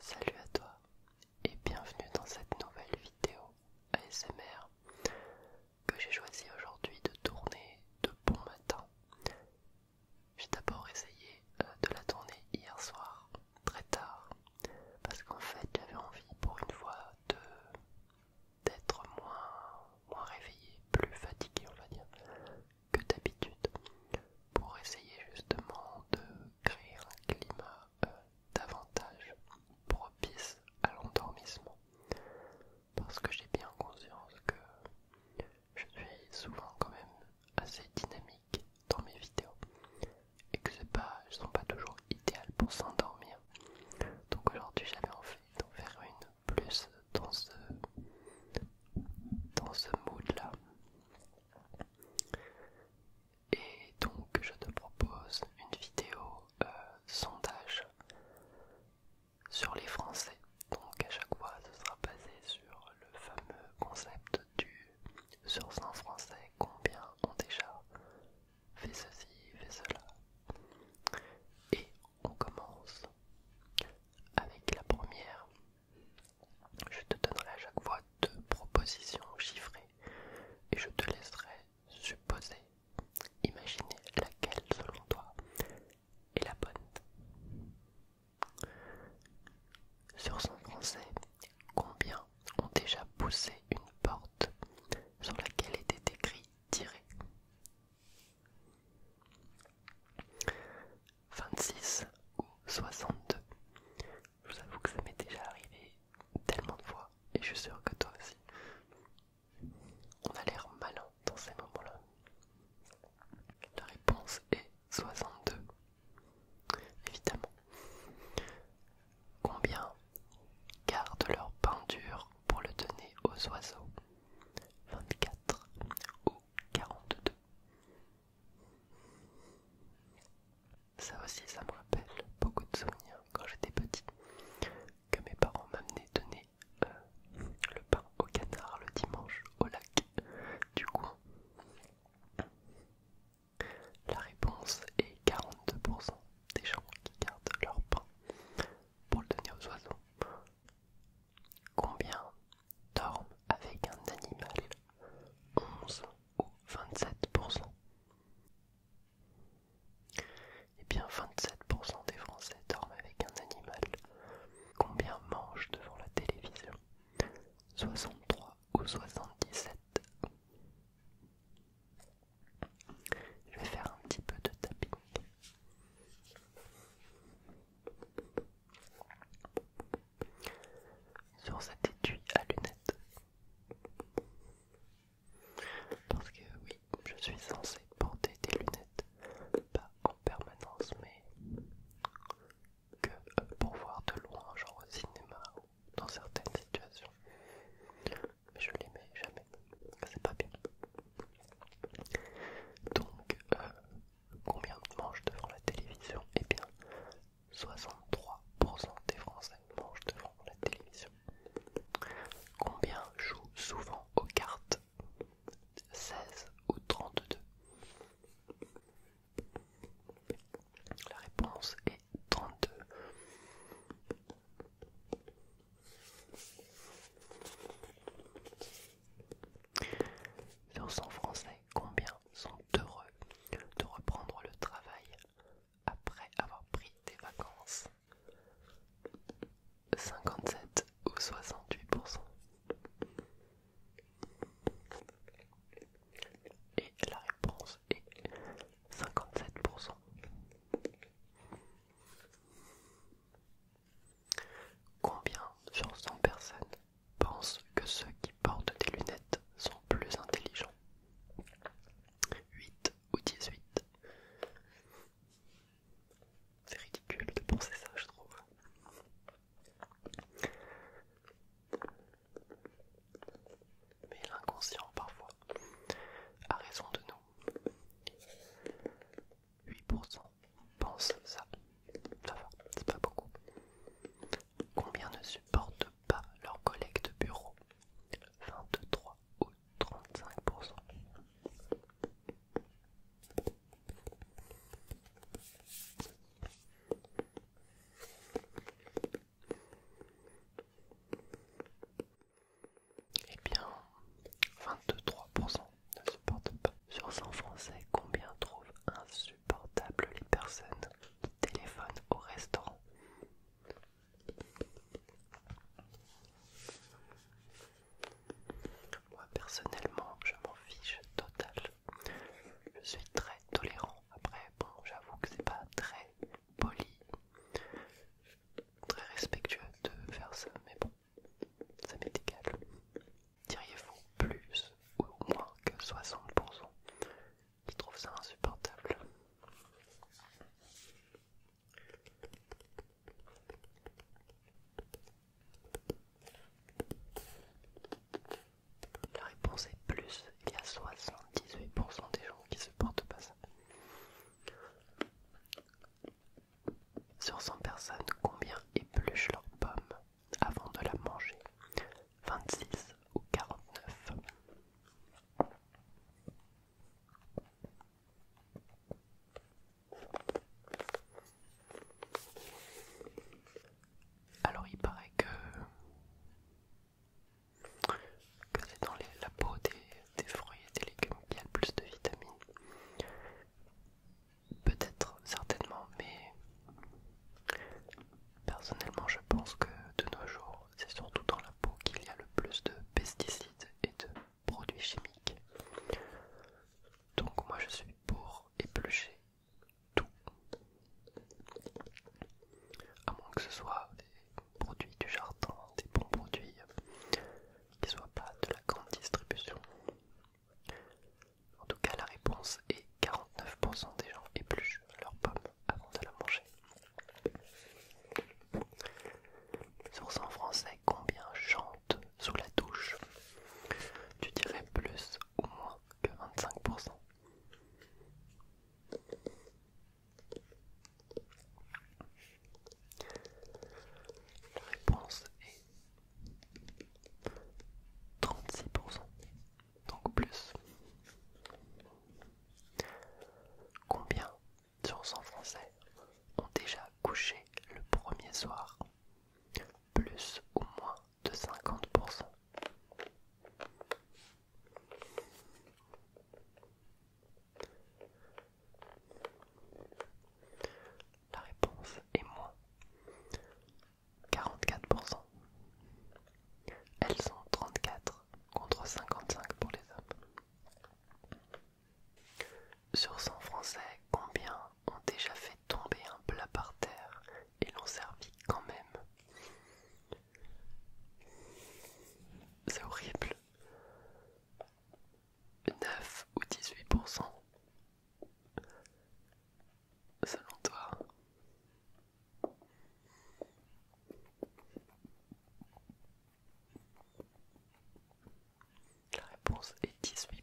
Salut à toi et bienvenue dans cette nouvelle vidéo ASMR que j'ai choisi aujourd'hui de tourner de bon matin. J'ai d'abord essayé euh, de la tourner hier soir très tard parce qu'en fait j'avais envie pour une fois de d'être moins, moins réveillé, plus fatigué on va dire que d'habitude pour essayer justement de créer un climat euh, davantage propice à l'endormissement. Parce que j'ai bien conscience que je suis souvent quand même assez dynamique dans mes vidéos et que pas, sont pas toujours idéal pour s'endormir. Donc aujourd'hui j'avais envie d'en faire une plus dans dans ce mood là. Et donc je te propose une vidéo euh, sondage sur les Français. Donc à chaque fois ce sera basé sur le fameux concept du sur un Français combien ont déjà fait ceci, fait cela. Et on commence avec la première je te donnerai à chaque fois deux propositions chiffrées et je te laisserai supposer, imaginer laquelle selon toi est la bonne. Sur son français, combien ont déjà poussé une porte sur laquelle était écrit tirer 26 ou 62. Je vous avoue que ça m'est déjà arrivé tellement de fois et je suis sûre que toi aussi. On a l'air malin dans ces moments-là. La réponse est 62. Évidemment. Combien gardent leur pendure pour le donner aux oiseaux 24 ou 42 ça aussi, ça me rappelle beaucoup de souvenirs quand j'étais petit, que mes parents m'amenaient donner euh, le pain au canard le dimanche au lac du coin. La réponse est 42% des gens qui gardent leur pain pour le donner aux oiseaux. Combien dorment avec un animal 11 ou 27% Eh bien 27% des Français dorment avec un animal. Combien mangent devant la télévision 63 ou 77 Je vais faire un petit peu de tapping sur cet étui à lunettes. Parce que oui, je suis censé porter des lunettes, pas en permanence, mais que pour voir de loin, genre au cinéma ou dans certaines situations. Mais je les mets jamais, c'est pas bien. Donc, euh, Combien mangent devant la télévision Eh bien, 63% des Français mangent devant la télévision. Combien jouent souvent aux cartes 16 ou 32 La réponse est 32. Sur son Français, combien sont heureux de reprendre le travail après avoir pris des vacances 57 ou 68% Et la réponse est 57%. Combien sur personnes pensent que ceux qui portent des lunettes sont plus intelligents 8 ou 18 C'est ridicule de penser ça, je trouve. Mais l'inconscient, parfois, a raison de nous. 8% pensent ça. Ça c'est pas beaucoup. Combien ne supportent pas leurs collègues de bureau 23 ou 35%. Eh bien, 23% ne supportent pas sur 100 Français, combien trouvent insupportables les personnes qui téléphonent au restaurant Moi personnellement, je m'en fiche total. Je suis très tolérant. Après, bon, j'avoue que c'est pas très poli, très respectueux de faire ça, mais bon ça m'est égal. Diriez-vous plus ou moins que 60% qui trouvent ça insupportable La réponse est plus, il y a 78% des gens qui supportent pas ça. Sur 100 personnes, combien épluchent leur pomme avant de la manger 26 ou 49 alors il paraît que, que c'est dans la peau des, des fruits et des légumes qu'il y a le plus de vitamines. Peut-être, certainement, mais personnellement je pense que de nos jours, c'est surtout dans la peau qu'il y a le plus de pesticides et de produits chimiques. Donc moi je suis pour éplucher tout. À moins que ce soit des produits du jardin, des bons produits qui soient pas de la grande distribution. En tout cas, la réponse est 49% des gens épluchent leur pomme avant de la manger. Sur en français, combien chantent sous la douche Tu dirais plus ou moins que 25%. La réponse est 36%, donc plus. Combien sur 100 Français ont déjà couché le premier soir Plus ou moins de 50%. La réponse est moins 44%. Elles sont 34 contre 55 pour les hommes. Sur 100 Français, combien ont déjà fait tomber un plat par terre et l'ont servi quand même C'est horrible. 9 ou 18% selon toi La réponse est 18%.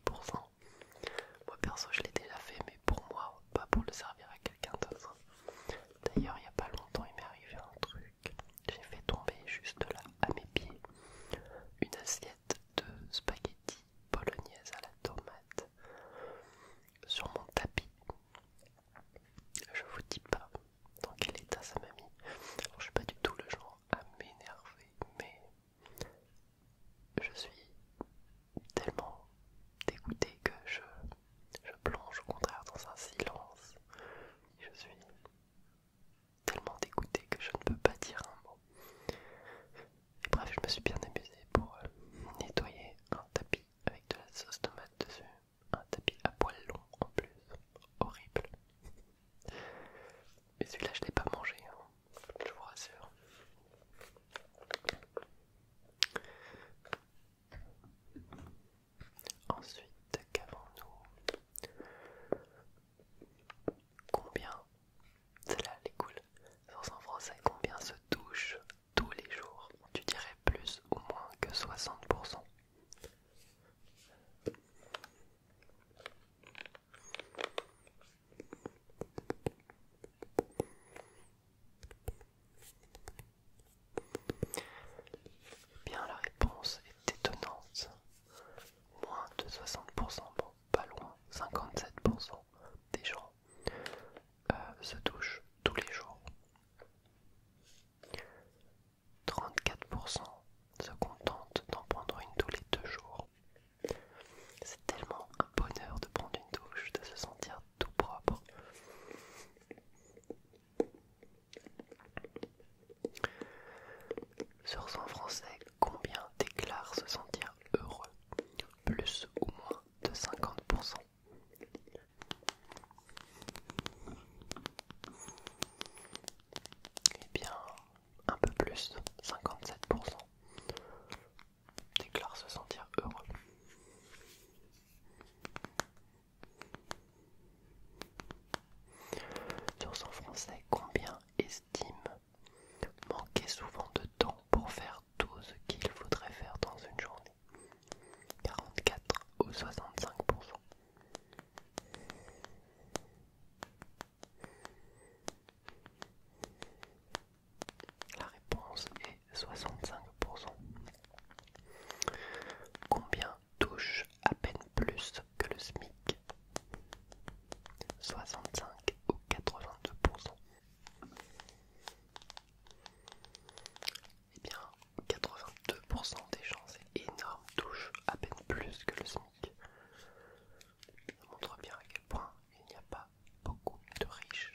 Moi perso je l'ai déjà fait mais pour moi, pas pour le servir à quelqu'un d'autre. D'ailleurs il n'y a pas longtemps il m'est arrivé un truc. J'ai fait tomber juste là à mes pieds une assiette de spaghettis polonaises à la tomate sur mon tapis. Je vous dis pas dans quel état ça m'a mis. je suis pas du tout le genre à m'énerver, mais je suis tellement dégoûtée que je, je plonge au contraire dans un silence. Je suis tellement dégoûté que je ne peux pas dire un mot. Et bref, je me suis bien amusé pour euh, nettoyer un tapis avec de la sauce tomate dessus. Un tapis à poils long en plus. Horrible. Mais celui-là, je l'ai pas mangé, hein. je vous rassure. Ensuite, qu'avons-nous combien, celle-là elle est cool, français, combien se touchent tous les jours Tu dirais plus ou moins que 60%. Bien, la réponse est étonnante moins de 60%, bon, pas loin, 57% des gens euh, se touchent tous les jours. 34% se contentent d'en prendre une tous les deux jours. C'est tellement un bonheur de prendre une douche, de se sentir tout propre. Sur 100 Français, combien déclarent se sentir heureux Plus ou moins de 50%. Eh bien, un peu plus, 57% déclarent se sentir heureux. Sur son français, combien estime manquer souvent de temps pour faire tout ce qu'il faudrait faire dans une journée 44 ou 65 La réponse est 65 Combien touche à peine plus que le SMIC, 65 ou 82%. et eh bien, 82% des gens, c'est énorme, touche à peine plus que le SMIC. Ça montre bien à quel point il n'y a pas beaucoup de riches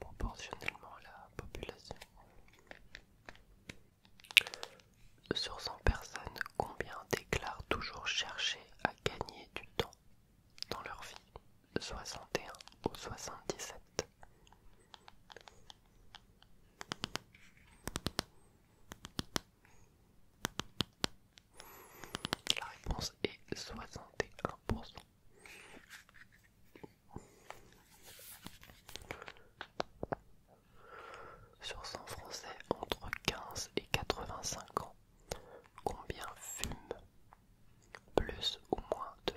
proportionnellement à la population. Sur 100 personnes, combien déclarent toujours chercher à gagner du temps dans leur vie 61 ou 77 La réponse est 61%. Sur 100 Français entre 15 et 85 ans, combien fument Plus ou moins de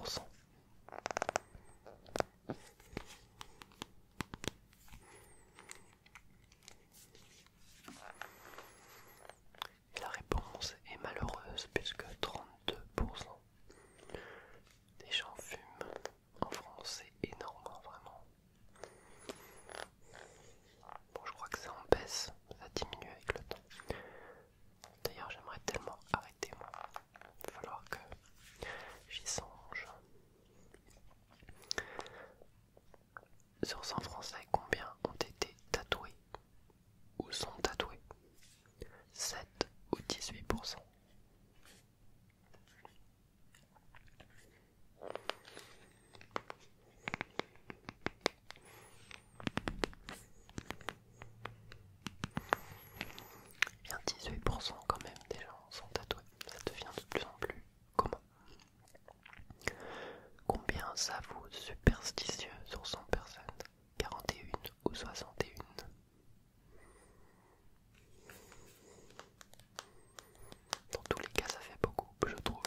25%. la réponse est malheureuse puisque 32% des gens fument en France, c'est énorme, hein, vraiment. Bon, je crois que ça en baisse, ça diminue avec le temps. D'ailleurs, j'aimerais tellement arrêter, moi. Il va falloir que j'y songe. Sur 100 Français, combien ont été tatoués ou sont tatoués 7 ou 18% 18% quand même des gens sont tatoués, ça devient de plus en plus commun. Combien ça vaut superstitieux sur 100 personnes 41 ou 61 dans tous les cas, ça fait beaucoup, je trouve.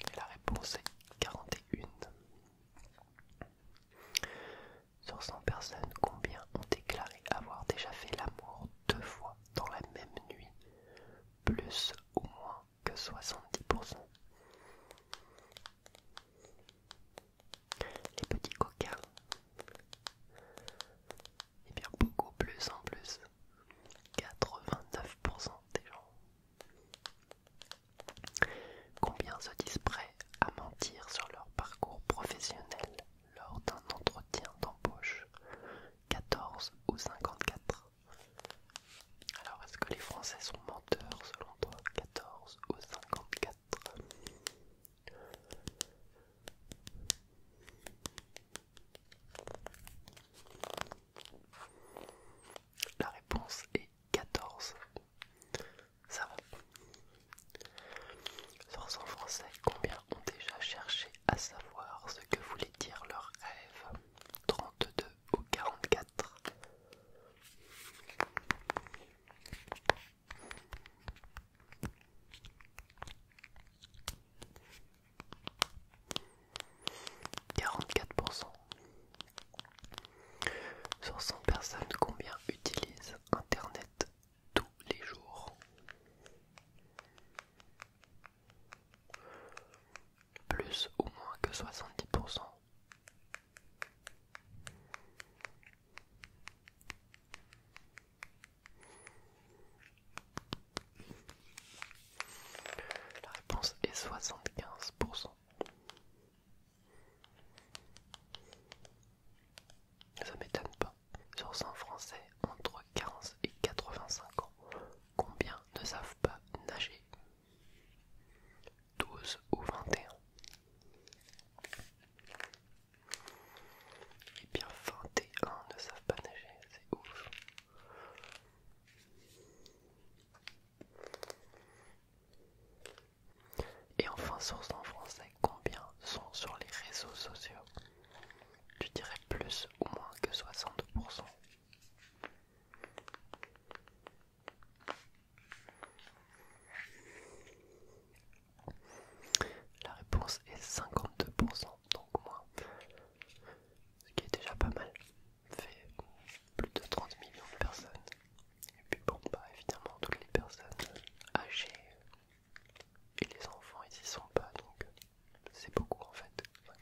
Et la réponse est 41. Sur 100 personnes, combien ont déclaré avoir déjà fait l'amour deux fois dans la même nuit Plus ou moins que 70% les petits coquins. Et eh bien beaucoup plus en plus. 89% des gens. Combien se disent prêts à mentir sur leur parcours professionnel lors d'un entretien d'embauche 14 ou 54. Alors est-ce que les Français sont menteurs selon toi 14 ou 54 la réponse est 14. Ça va. Sans en français, combien ont déjà cherché à savoir ce que voulait dire leur rêve 32 ou 44 44%. Sur 100 personnes, combien utilisent Internet tous les jours Plus ou moins que 70% la réponse est 75%. Ça m'étonne pas. Sur 100 Français entre 15 et 85 ans, combien ne savent pas nager 12 ou 21 et bien 21 ne savent pas nager, c'est ouf. Et enfin, source en français, combien sont sur les réseaux sociaux Tu dirais plus ou moins que 60% la réponse est 52%, donc moins. Ce qui est déjà pas mal. Fait plus de 30 millions de personnes. Et puis bon, pas bah, évidemment, toutes les personnes âgées et les enfants, ils y sont pas, donc c'est beaucoup en fait, 52%.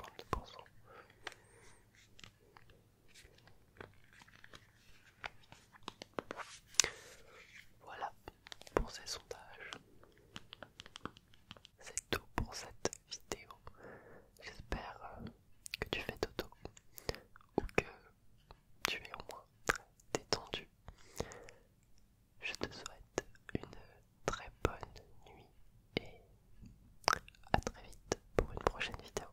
Voilà pour ces sondages. C'est tout pour cette vidéo. J'espère euh, que tu fais dodo ou que tu es au moins détendu. Je te souhaite une très bonne nuit et à très vite pour une prochaine vidéo.